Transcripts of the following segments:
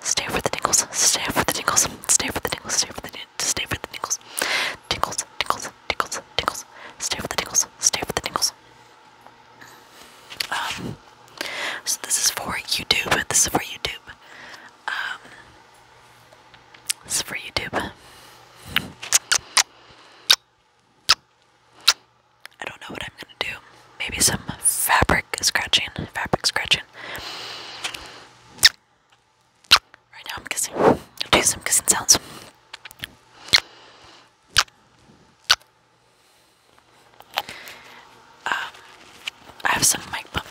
Stay for the tingles. Stay for the tingles. Stay for the tingles. Stay for the stay for the tingles. Tingles, tingles, tingles, tingles. Stay for the tingles. Stay for the tingles. Um, so this is for YouTube. This is for YouTube. Um, this is for YouTube. I don't know what I'm gonna do. Maybe some fabric fabric scratching, fabric scratching. Right now I'm kissing. do some kissing sounds. Um, I have some mic bumping.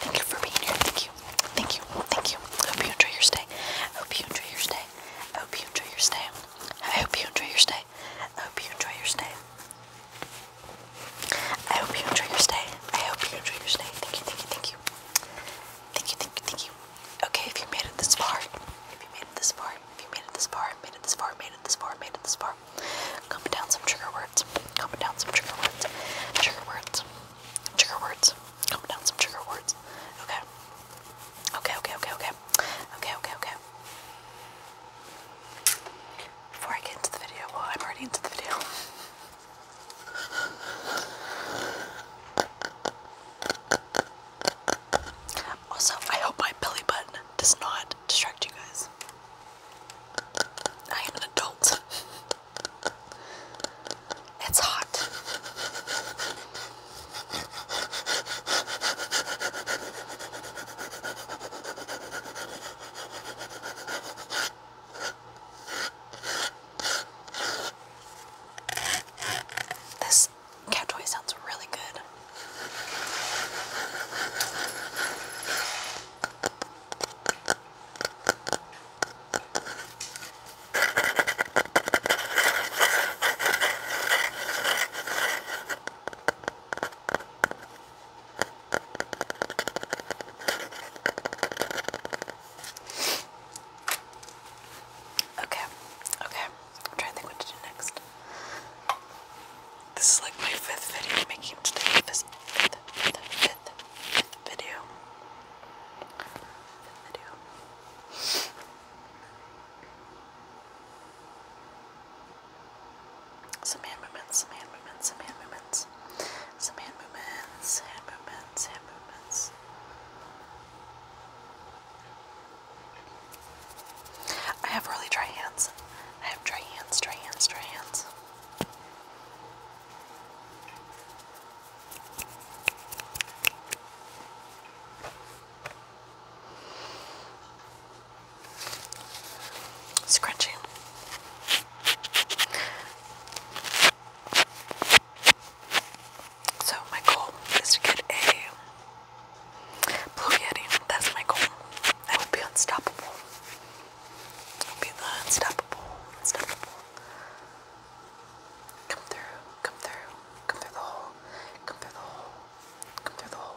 Thank you for being here. Thank you. Thank you. Thank you. Hope you enjoy your stay. Hope you enjoy your stay. Hope you enjoy your stay. I hope you enjoy your stay. I hope you enjoy your stay. I hope you enjoy your stay. I hope you enjoy your stay. Thank you. Thank you. Thank you. Thank you. Thank you. Thank you. Okay, if you made it this far, if you made it this far, if you made it this far, made it this far, made it this far, made it this far, comment down some trigger words comment down some trigger words. Trigger words. Trigger words. Comment down some trigger words. Okay. Okay, okay, okay, okay. Okay, okay, Before I get into the video, well, I'm already into the video. Also, I hope my belly button does not distract you guys. I am an adult. It's hot. This cat toy sounds really good. Okay, okay. i to think what to do next. This is like my fifth video making today. fifth, fifth, fifth, Fifth video. Some hand movements, some hand movements, some hand movements. Some hand movements, hand movements, hand movements. I have really dry hands. I have dry hands, dry hands, dry hands. Scratching. So my goal is to get a blue yeti. That's my goal. I would be unstoppable. Be unstoppable, unstoppable. Come through, come through, come through the hole, come through the hole, come through the hole.